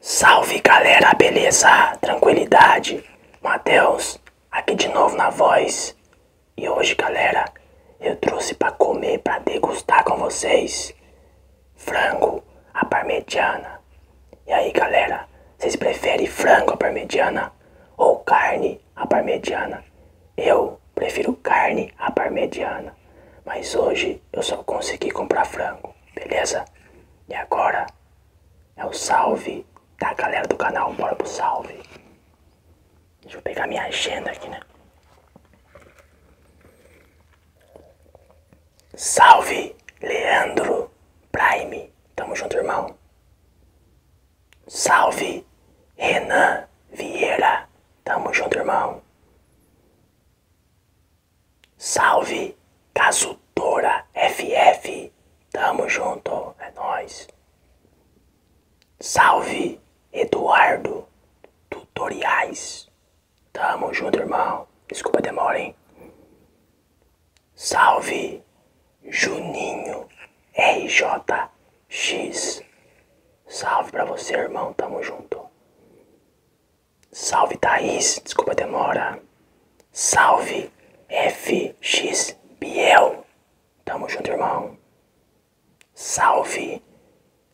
Salve galera, beleza? Tranquilidade? Matheus, aqui de novo na voz. E hoje, galera, eu trouxe para comer, para degustar com vocês frango à parmegiana. E aí galera, vocês preferem frango à parmegiana ou carne à parmegiana? Eu prefiro carne à parmegiana, mas hoje eu só consegui comprar frango, beleza? E agora é o salve da galera do canal, bora pro salve. Deixa eu pegar minha agenda aqui, né? Salve, Leandro Prime. Tamo junto, irmão. Salve, Renan Vieira. Tamo junto, irmão. Salve, Casutora FF. Tamo junto, é nóis. Salve, Eduardo Tutoriais. Tamo junto, irmão. Desculpa a demora, hein? Salve, Juninho RJX. Salve pra você, irmão. Tamo junto. Salve, Thaís. Desculpa a demora. Salve, FX Biel. Tamo junto, irmão. Salve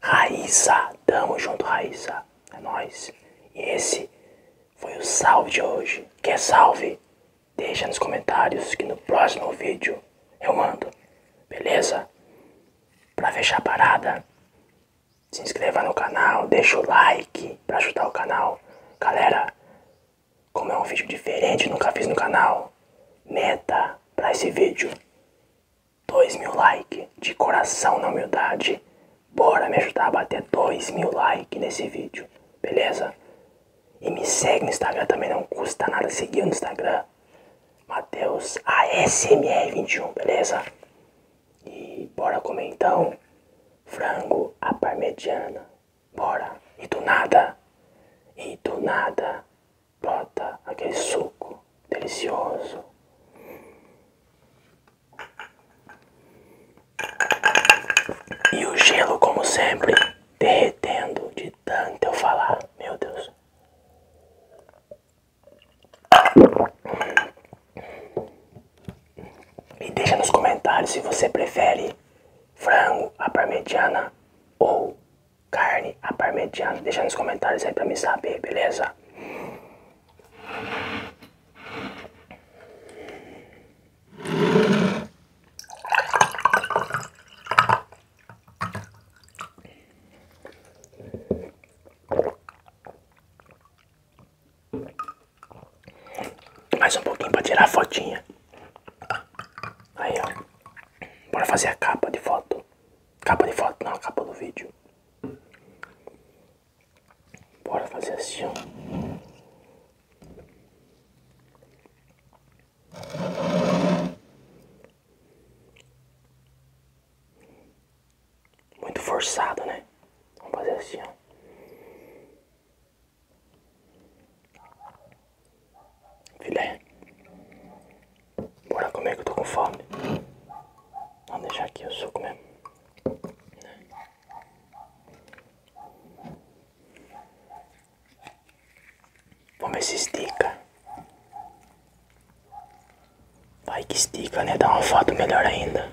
Raíssa, tamo junto Raíssa, é nóis. E esse foi o salve de hoje. Quer salve? Deixa nos comentários que no próximo vídeo eu mando, beleza? Pra fechar a parada, se inscreva no canal, deixa o like pra ajudar o canal. Galera, como é um vídeo diferente, nunca fiz no canal, meta pra esse vídeo 2 mil likes de coração na humildade. Bora me ajudar a bater 2 mil likes nesse vídeo, beleza? E me segue no Instagram também, não custa nada seguir no Instagram. mateusasmr 21 beleza? E bora comer então frango à parmegiana. Bora. E do nada. E do nada brota aquele suco delicioso. E o gelo, como sempre, derretendo de tanto eu falar. Meu Deus. E deixa nos comentários se você prefere frango a parmegiana ou carne à Deixa nos comentários aí pra me saber, beleza? Mais um pouquinho pra tirar a fotinha. Aí, ó. Bora fazer a capa de foto. Capa de foto, não, capa do vídeo. Bora fazer assim, Muito forçado, né? Vamos fazer assim, Filé. Bora comer que eu tô com fome. Vamos deixar aqui o suco mesmo. Vamos ver se estica. Vai que estica, né? Dá uma foto melhor ainda.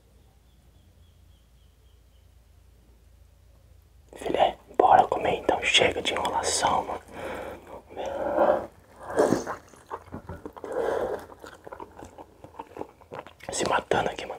Filé, bora comer então. Chega de enrolação, mano. Se matando aqui, mano.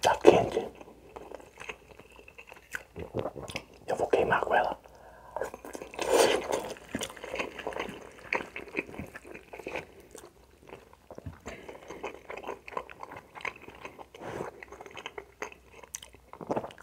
Tá quente. Eu vou queimar com ela.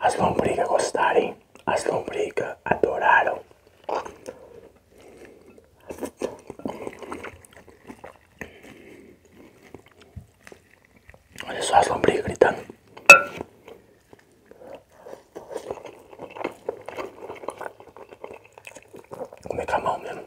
As lombrigas gostarem, as lombrigas adoraram. Olha só as lombrigas gritando. Vou comer é com é a mão mesmo.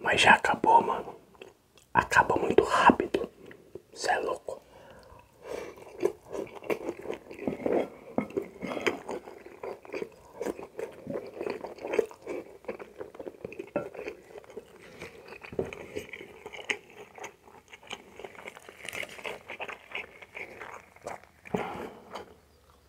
Mas já acabou, mano. Acaba muito rápido. Você é louco.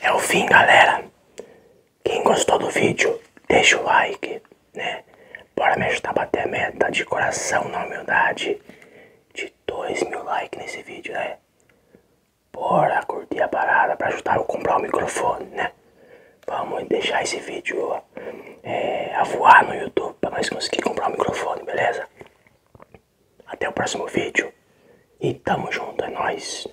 É o fim, galera. Quem gostou do vídeo, deixa o like, né? Bora me ajudar a bater a meta de coração na humildade de dois mil likes nesse vídeo, né? Bora curtir a parada pra ajudar eu comprar o microfone, né? Vamos deixar esse vídeo é, voar no YouTube pra nós conseguir comprar o microfone, beleza? Até o próximo vídeo e tamo junto, é nóis!